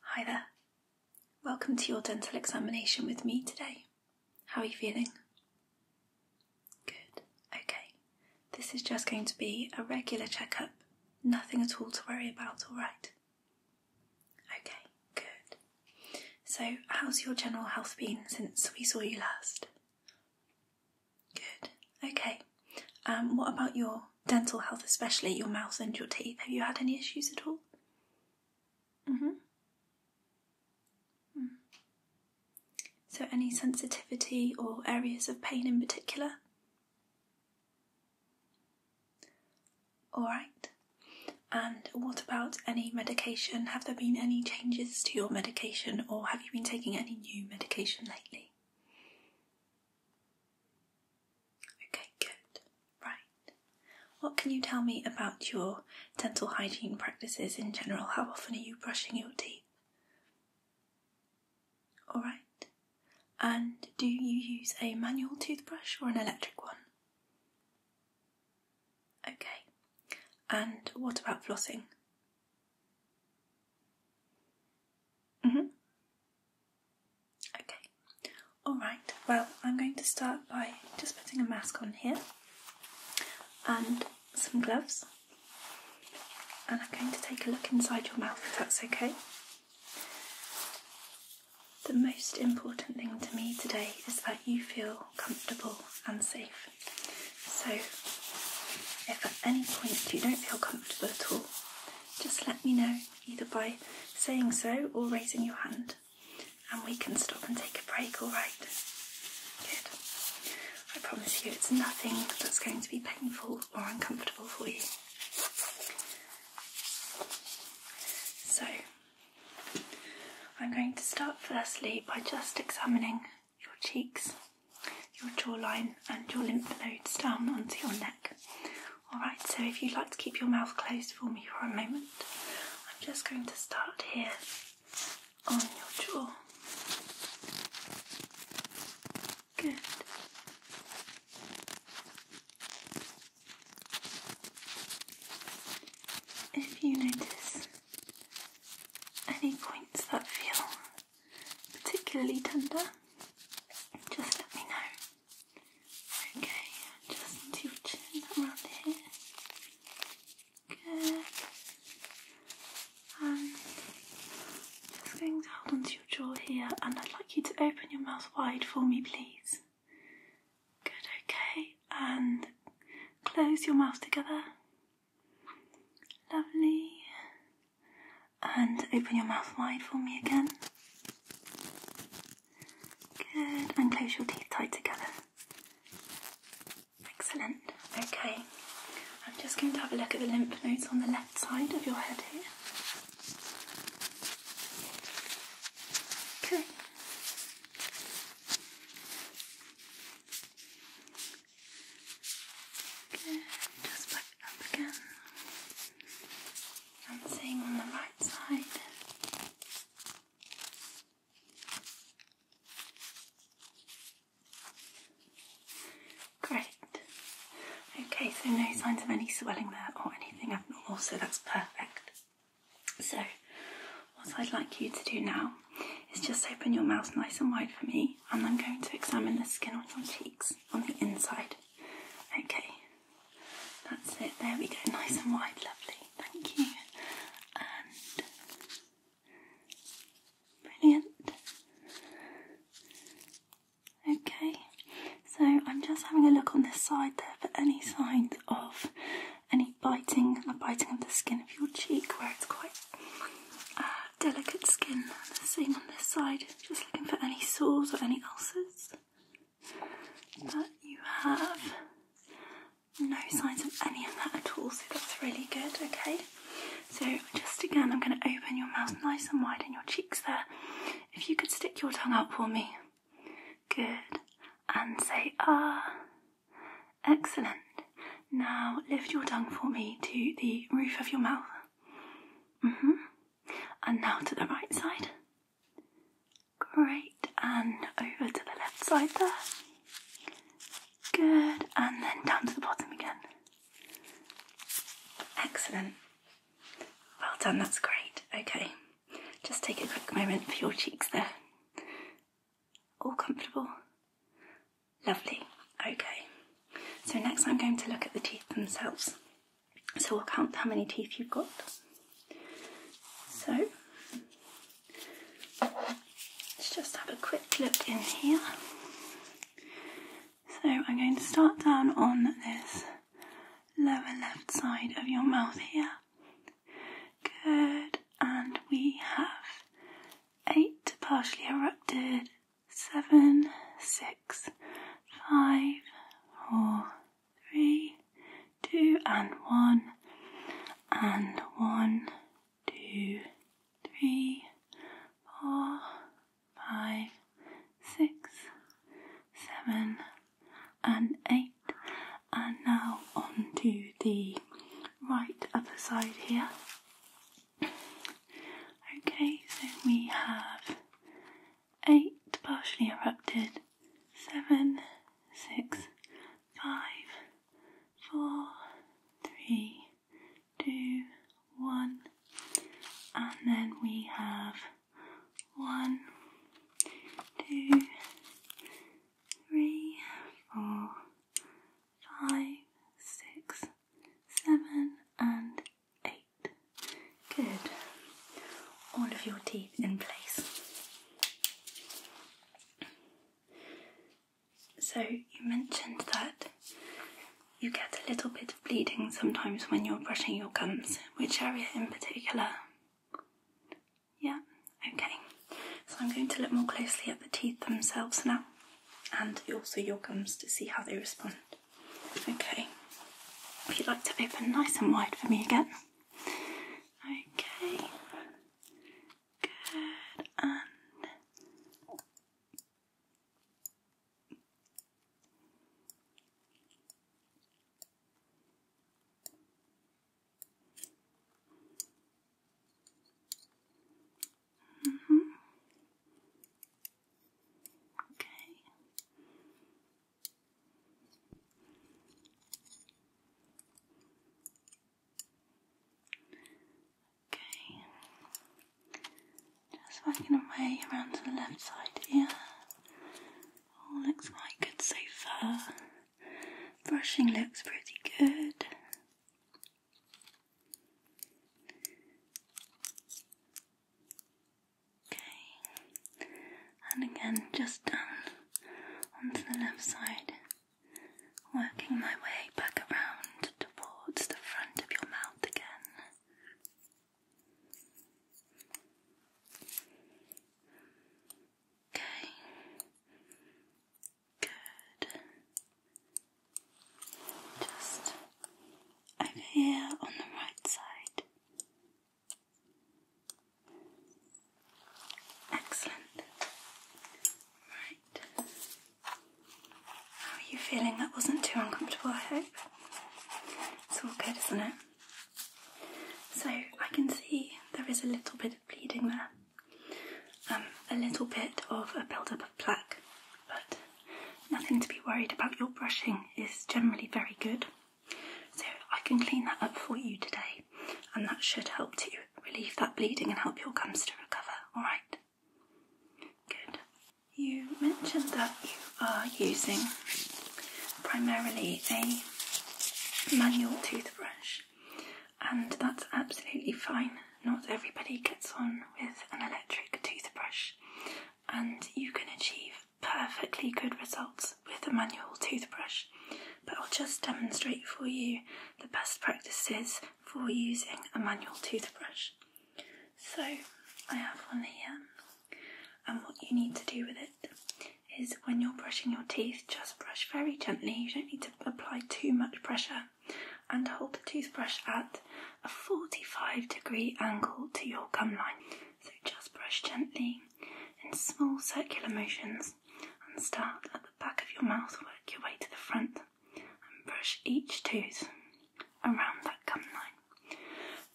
Hi there. Welcome to your dental examination with me today. How are you feeling? Good, okay. This is just going to be a regular checkup, nothing at all to worry about, alright? Okay, good. So, how's your general health been since we saw you last? Good, okay. Um, what about your dental health, especially your mouth and your teeth? Have you had any issues at all? Mm-hmm. hmm So, any sensitivity or areas of pain in particular? All right. And what about any medication? Have there been any changes to your medication, or have you been taking any new medication lately? Okay, good. Right. What can you tell me about your dental hygiene practices in general? How often are you brushing your teeth? Alright. And do you use a manual toothbrush or an electric one? Okay. And what about flossing? Mm-hmm. Okay, alright, well, I'm going to start by just putting a mask on here and some gloves, and I'm going to take a look inside your mouth if that's okay. The most important thing to me today is that you feel comfortable and safe. So, if at any point you don't feel comfortable at all, just let me know either by saying so or raising your hand, and we can stop and take a break, alright? Good. I promise you, it's nothing that's going to be painful or uncomfortable for you. So, I'm going to start firstly by just examining your cheeks, your jawline, and your lymph nodes down onto your neck. Alright, so if you'd like to keep your mouth closed for me for a moment, I'm just going to start here on your jaw. Good. If you notice any points that feel particularly tender, just let me know. Okay, just into your chin around here. Good. And um, just going to hold onto your jaw here, and I'd like you to open your mouth wide for me, please. Good, okay. And close your mouth together. Lovely. And open your mouth wide for me again. Good. And close your teeth tight together. Excellent. Okay. I'm just going to have a look at the lymph nodes on the left side of your head here. Okay. Good. Just by back up again and seeing on the right side. Great. Okay, so no signs of any swelling there or anything abnormal, so that's perfect. So, what I'd like you to do now is just open your mouth nice and wide for me, and I'm going to examine the skin on your cheeks on the inside. Okay, that's it. There we go, nice and wide, lovely. Thank you. And brilliant. Okay, so I'm just having a look on this side there for any signs of any biting, the biting of the skin of your cheek where it's quite uh, delicate skin. Seeing on this side just looking for any sores or any ulcers. But you have no signs of any of that at all, so that's really good, okay? So, just again, I'm going to open your mouth nice and wide and your cheeks there. If you could stick your tongue out for me. Good. And say ah. Excellent. Now lift your tongue for me to the roof of your mouth. Mm hmm and now to the right side. Great, and over to the left side there. Good, and then down to the bottom again. Excellent. Well done, that's great. Okay, just take a quick moment for your cheeks there. All comfortable? Lovely. Okay, so next I'm going to look at the teeth themselves. So we'll count how many teeth you've got. So let's just have a quick look in here. So I'm going to start down on this lower left side of your mouth here. Good, and we have eight partially erupted seven, six, five, four, three, two, and one, and one, two, three, four, five, six, seven, and eight. And now on to the right other side here. Okay, so we have eight partially erupted, seven, six, five, four, three, two, one, and then we have one, two, three, four, five, six, seven, and eight. Good. All of your teeth in place. So, you mentioned that you get a little bit of bleeding sometimes when you're brushing your gums. Which area in particular? Yeah, okay. So, I'm going to look more closely at the teeth themselves now and also your gums to see how they respond. Okay, if you'd like to open nice and wide for me again. Okay, good, and Mm -hmm. Okay. Okay. Just working away around to the left side here. All oh, looks quite good so far. Brushing looks pretty good. Okay, and again, just down onto the left side, working my way back around towards the front of your mouth again. Okay, good. Just and here on the right side. Excellent. Right. How are you feeling? That wasn't too uncomfortable, I hope. It's all good, isn't it? So I can see there is a little bit of bleeding there. Um, a little bit of a build-up of plaque, but Nothing to be worried about. Your brushing is generally very good. So I can clean that up for you today, and that should help to relieve that bleeding and help your gums to recover. All right. Good. You mentioned that you are using primarily a manual toothbrush, and that's absolutely fine. Not everybody gets on with an electric toothbrush, and you can achieve perfectly good results with a manual toothbrush. But I'll just demonstrate for you the best practices for using a manual toothbrush. So I have one here, and what you need to do with it is when you're brushing your teeth, just brush very gently. You don't need to apply too much pressure and hold the toothbrush at a 45 degree angle to your gum line. So just brush gently in small circular motions and start at the back of your mouth, work your way to the front and brush each tooth around that gum line.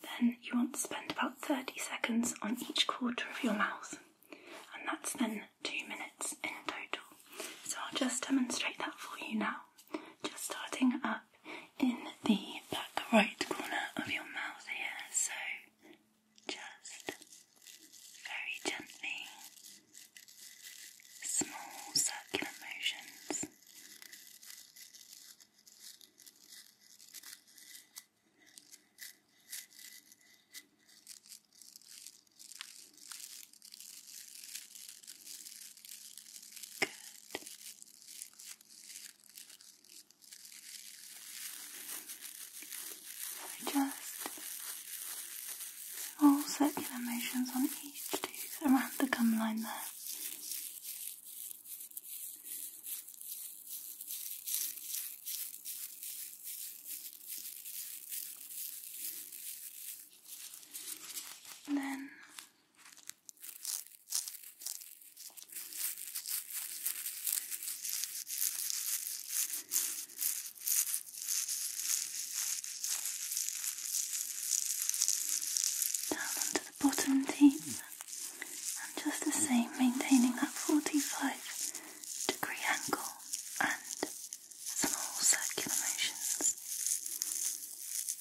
Then you want to spend about 30 seconds on each quarter of your mouth and that's then two minutes in total. So I'll just demonstrate that for you now. Just starting at in the back right corner of your mouth here, so just very gently, small circular motions. Good just all circular motions on each tooth around the gum line there. then down onto the bottom deep, and just the same, maintaining that 45 degree angle and small circular motions.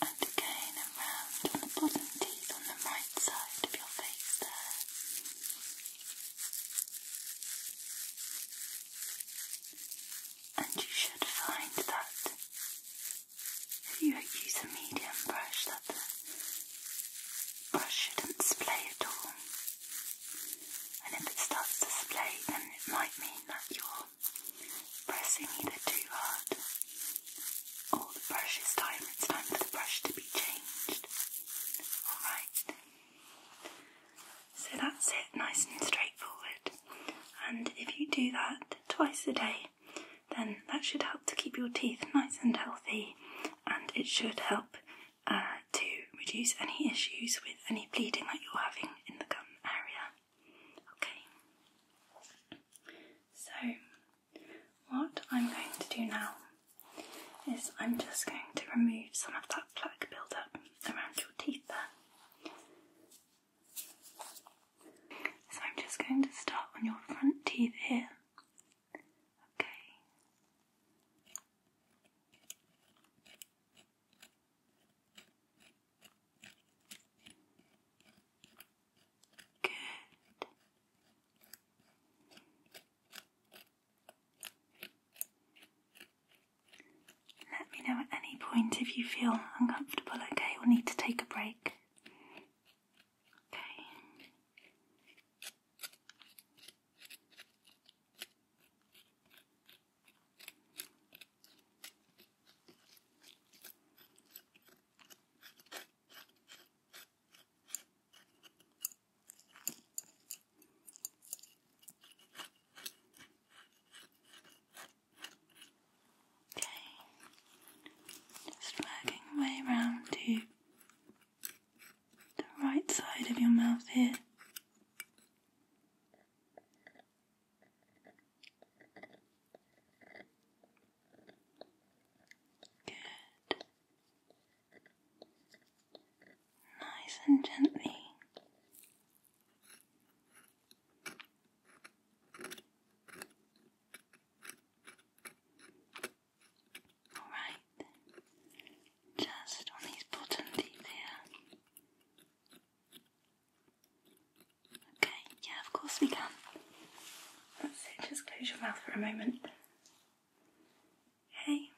And again around on the bottom teeth on the right side of your face there. And you should find that if you use a medium brush that the brush shouldn't splay at all. And if it starts to splay, then it might mean that you're pressing either too hard or the brush is time. It's time for the brush to be changed. Alright. So that's it, nice and straightforward. And if you do that twice a day, then that should help to keep your teeth nice and healthy, and it should help uh, to reduce any issues with any bleeding that you're having in the gum area. Okay, so what I'm going to do now is I'm just going to remove some of that plaque buildup around your teeth there. So I'm just going to start on your front teeth here. Okay. Good. Let me know at any point if you feel uncomfortable, okay, or need to take a break. Okay. Okay, just working my way around to the right side of your mouth here. Good. Nice and gently. All right just on these bottom teeth here. Okay, yeah, of course we can. That's it, just close your mouth for a moment. Hey.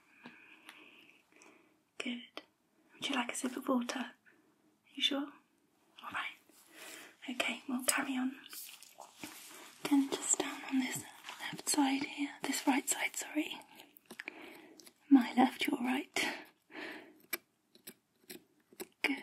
Good. Would you like a sip of water? Are you sure? Alright. Okay, we'll carry on. Again, just down on this left side here, this right side, sorry. My left, your right. Good.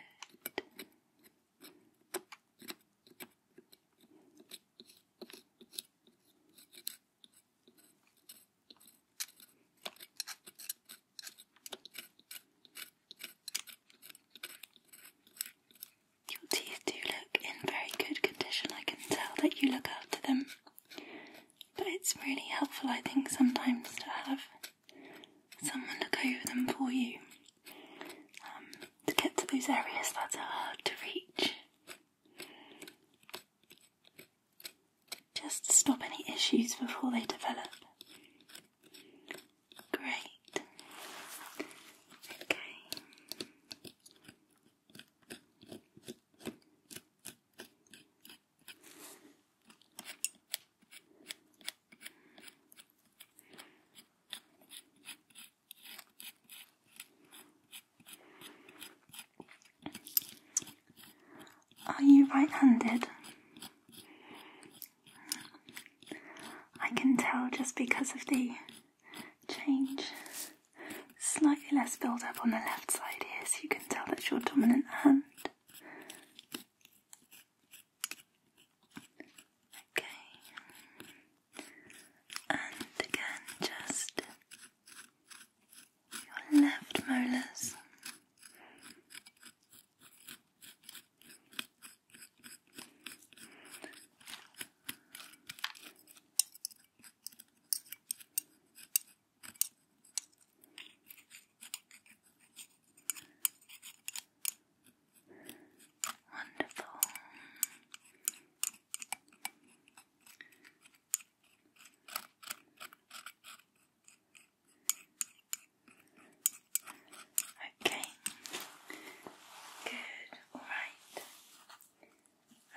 Your teeth do look in very good condition. I can tell that you look after them. But it's really helpful, I think, sometimes to have someone look over them for you um, to get to those areas that are hard to reach. Just stop any issues before they develop. Great. Okay. Are you right handed? I can tell just because of the change Slightly less build up on the left side here, so you can tell that's your dominant hand. Okay. And again, just your left molars. Wonderful. Okay. Good. All right.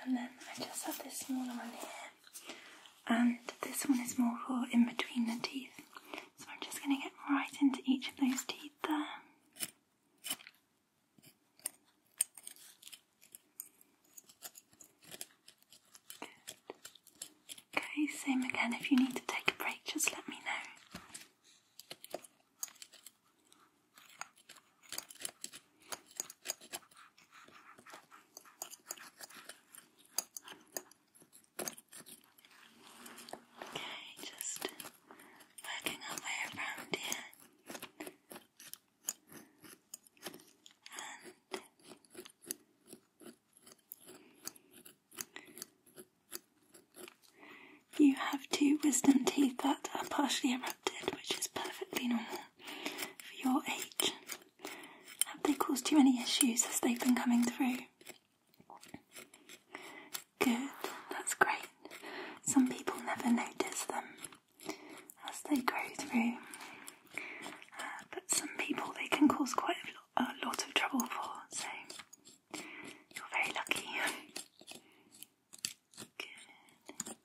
And then I just have this smaller one here, and this one is more for in between the teeth. So I'm just going to get right into each of those teeth there. Okay, same again. If you need to take a break, just let me know. Okay, just working our way around you have two wisdom teeth that are partially around which is perfectly normal for your age. Have they caused too many issues as they've been coming through? Good, that's great. Some people never notice them as they grow through, uh, but some people they can cause quite a, a lot of trouble for, so you're very lucky. Good.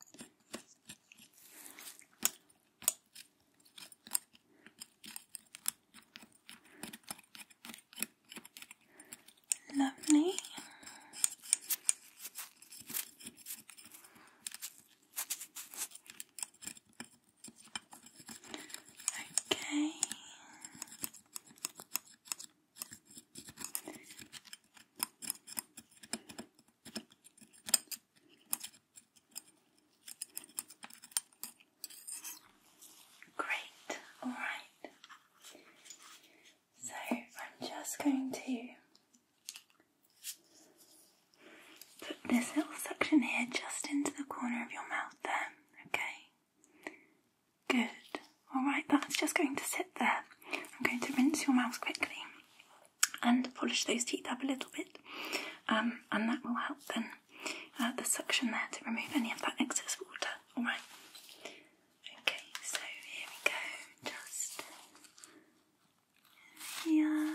Lovely. Okay. Great, alright. So I'm just going to put this little suction here just into the corner of your mouth there, okay? Good, alright, that's just going to sit there. I'm going to rinse your mouth quickly and polish those teeth up a little bit, um, and that will help then uh, the suction there to remove any of that excess water. All right. Okay, so here we go. Just yeah.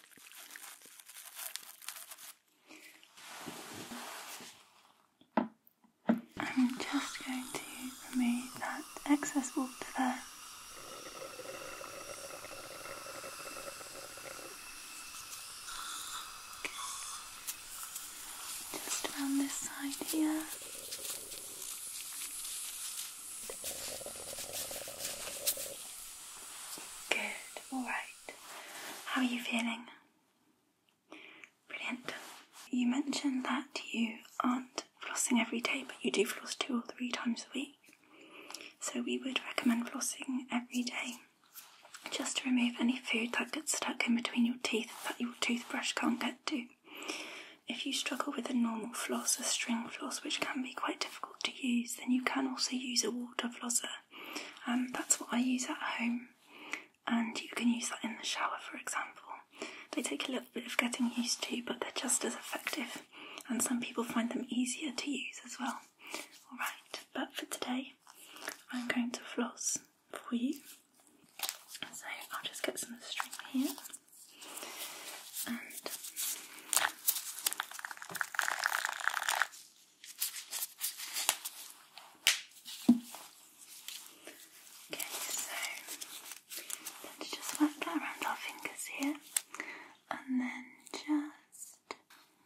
I'm just going to remove that excess water there. Just around this side here. Good, alright. How are you feeling? Brilliant. You mentioned that you aren't flossing every day, but you do floss two or three times a week. So we would recommend flossing every day just to remove any food that gets stuck in between your teeth that your toothbrush can't get to. If you struggle with a normal floss, a string floss, which can be quite difficult to use, then you can also use a water flosser. Um, that's what I use at home, and you can use that in the shower, for example. They take a little bit of getting used to, but they're just as effective, and some people find them easier to use as well. Alright, but for today, I'm going to floss for you. So I'll just get some string here and Okay, so let's just work that around our fingers here and then just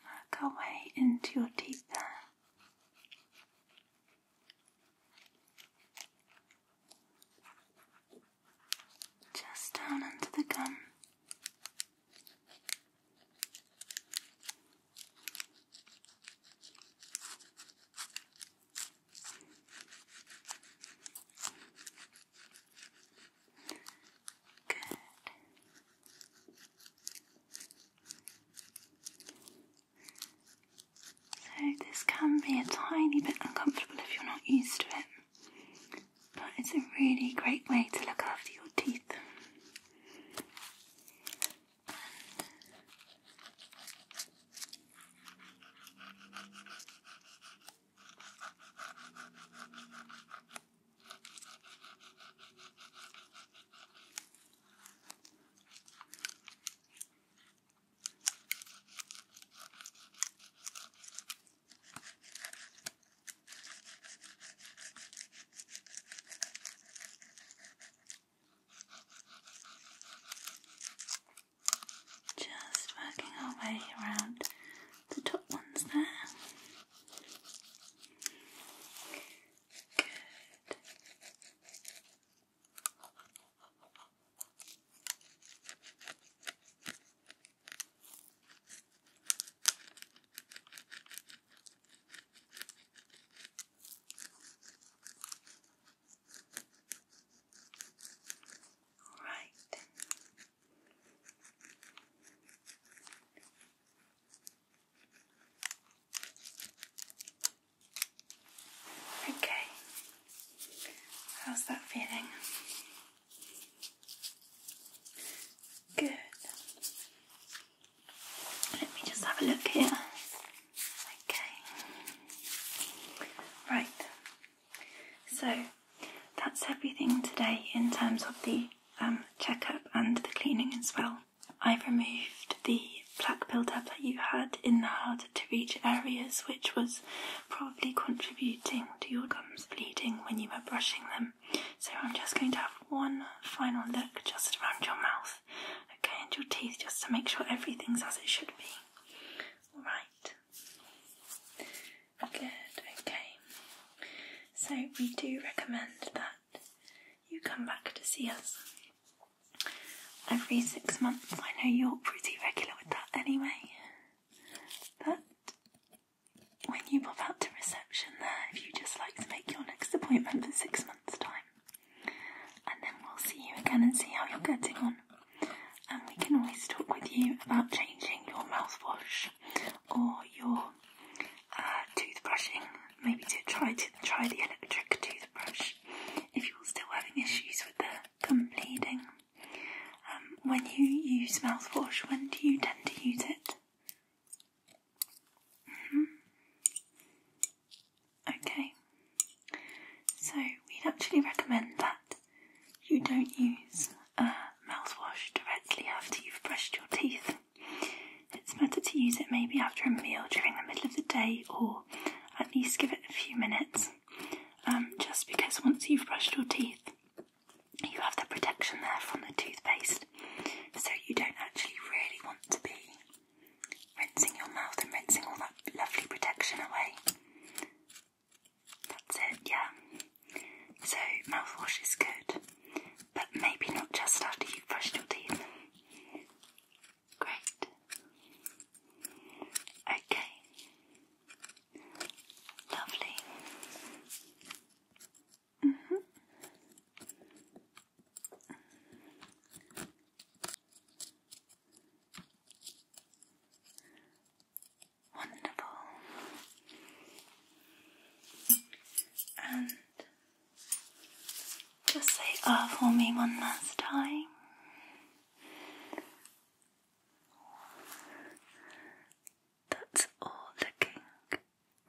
work our way into your teeth there just down under the gum. Good. So, this can be a tiny bit uncomfortable if you're not used to it. But it's a really great way to look after your teeth. Just working our way around the top ones there. Good. All right. Okay. How's that feeling? Good. Let me just have a look here. Okay. Right. So that's everything today in terms of the um, checkup and the cleaning as well. I've removed the plaque buildup that you had in the hard to reach areas, which was probably contributing to your gums bleeding when you were brushing them so I'm just going to have one final look just around your mouth, okay, and your teeth just to make sure everything's as it should be. Alright. Good, okay. So we do recommend that you come back to see us every six months. I know you're pretty regular with that anyway. But when you pop out to reception there, if you just like to make your next appointment for six months' time, and then we'll see you again and see how you're getting on. And we can always talk with you about changing your mouthwash or your uh, toothbrushing, maybe to try to try the electric toothbrush if you're still having issues with the gum bleeding. Um, when you use mouthwash, when do you tend to use it? Mm-hmm. Okay, so we'd actually recommend that you don't use uh, mouthwash directly after you've brushed your teeth. It's better to use it maybe after a meal during the middle of the day or at least give it a few minutes. Um, just because once you've brushed your teeth, you have the protection there from the toothpaste, so you don't actually really want to be rinsing your mouth and rinsing all that lovely protection away. That's it, yeah. So, mouthwash is good, but maybe not just after you've brushed your teeth. Great. Okay. Lovely. -hmm. Wonderful. And just say R ah, for me one last time. That's all looking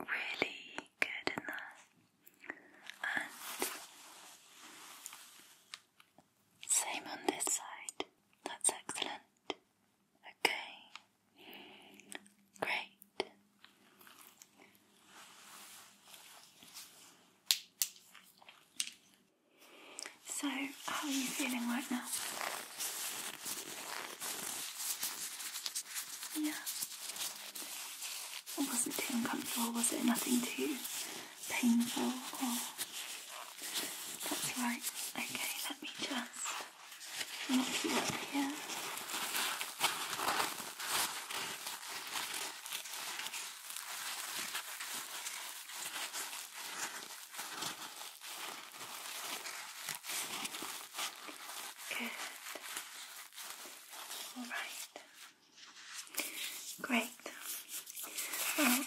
really good in there. And same on this side. That's excellent. Okay. Great. So how are you feeling right now? Yeah. It wasn't too uncomfortable, was it? Nothing too painful that's right. Okay, let me just knock Good. All right. Great. Well,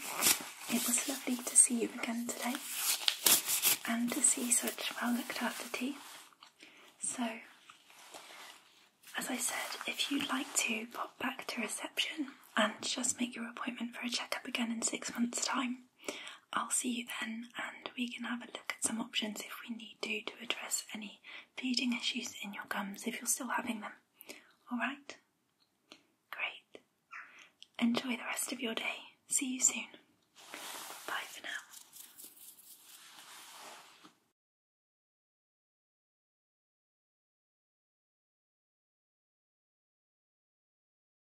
it was lovely to see you again today and to see such well looked after teeth. So, as I said, if you'd like to pop back to reception and just make your appointment for a checkup again in six months' time, I'll see you then, and we can have a look at some options if we need to to address any bleeding issues in your gums if you're still having them. Alright? Great. Enjoy the rest of your day. See you soon. Bye for now.